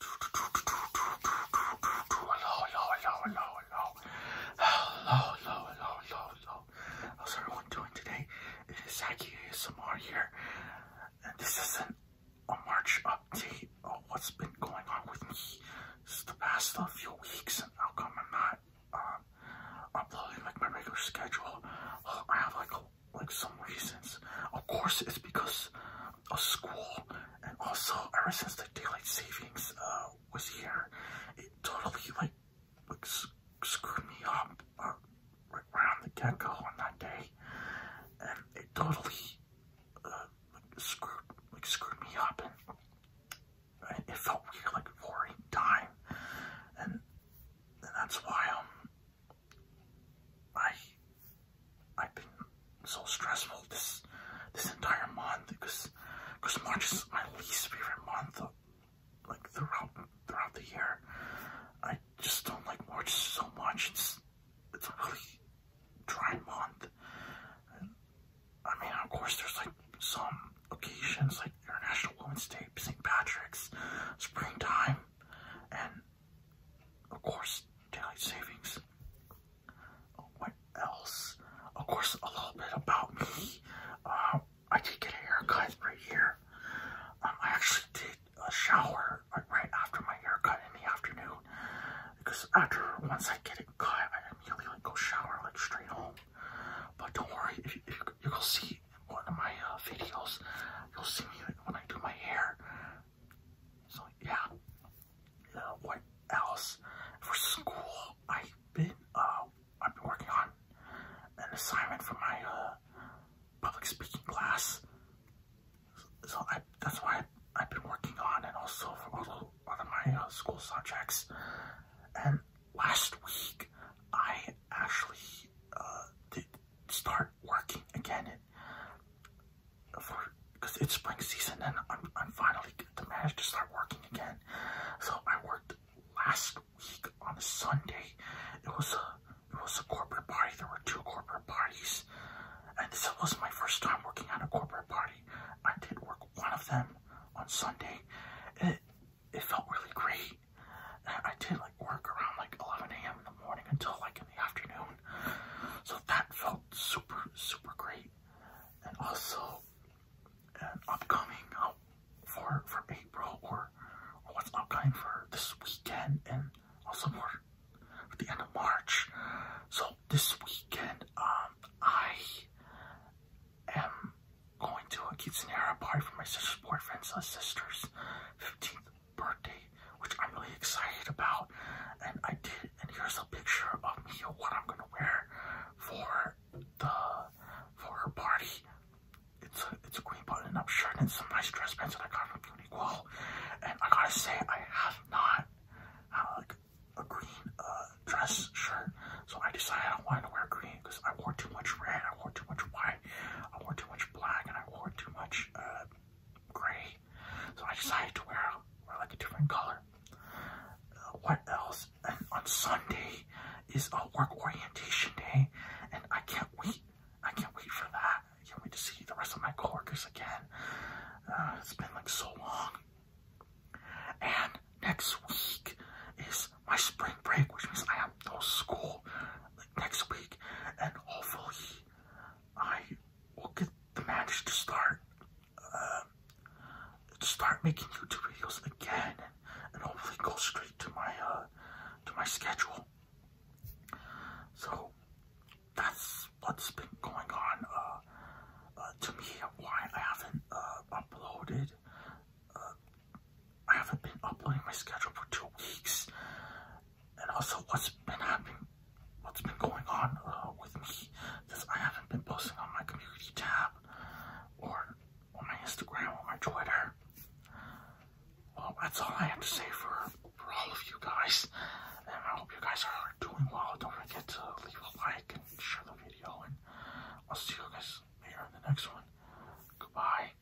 hello, hello, hello, hello, hello, hello, hello. How's everyone doing today? It is Zaki ASMR here, and this is a March update of what's been going on with me. This is the past uh, few weeks, and I'm not um, uploading like my regular schedule? I have like like some reasons. Of course, it's because of school, and also ever since the daylight savings uh, was here, it totally like, like screwed me up uh, right, right the get go on that day, and it totally uh, like, screwed like screwed me up, and, it felt weird like boring time, and and that's why I'm. Um, I I've been so stressful this this entire month because because March is my least favorite month of, like throughout throughout the year. I just don't like March so much. It's it's a really dry month. I mean, of course, there's like some um, occasions like International Women's Day, St. Patrick's, springtime, and of course, daily savings. What else? Of course, a little bit about me. Um, I did get a haircut right here. Um, I actually did a shower right after my haircut in the afternoon because after once I get it cut, I immediately like go shower like straight home. But don't worry, if you, if you, you'll see in one of my uh, videos, you'll see me when I do my hair. So yeah, uh, what else? For school, I've been uh, I've been working on an assignment for my uh, public speaking class. So I, that's why I, I've been working on, and also for a little one of my uh, school subjects. And last week, I actually uh, did start working again for because it's spring season, and I'm I'm finally to manage to start working again. So I worked last week on a Sunday. It was a it was a corporate party. There were two corporate parties, and this was my first time working at a corporate party. I did work one of them on Sunday. it it felt really great. I did like work around like 11 a.m. in the morning until like in the afternoon, so that felt super super great. And also, an upcoming out for for April or or what's upcoming for this weekend and also more at the end of March. So this weekend, um, I am going to a quinceanera party for my sister's boyfriend's uh, sister's 15th birthday, which I'm really excited about. And I did, and here's a picture of me of what I'm gonna wear for the for her party. It's a it's a green button-up shirt and some nice dress pants that I got from Uniqlo. And I gotta say, I have not uh, like a green uh, dress shirt. So I decided I wanted to wear green because I wore too much red, I wore too much white, I wore too much black, and I wore too much uh, gray. So I decided to wear, wear like a different color. Uh, what else? And on Sunday is a work orientation day, and I can't wait. I can't wait for that can't wait to see the rest of my coworkers again. Uh, it's been like so long. And next week is my spring break, which means I have no school next week, and hopefully I will get the manage to start uh, start making YouTube videos again, and hopefully go straight to my uh, to my schedule. So that's what's been going on. Uh, uh, to me, why I haven't uh, uploaded. I haven't been uploading my schedule for two weeks, and also what's been happening, what's been going on with me, since I haven't been posting on my community tab or on my Instagram, on my Twitter. Well, that's all I have to say for, for all of you guys. I hope you guys are doing well. Don't forget to leave a like and share the video. And I'll see you guys later in the next one. Goodbye.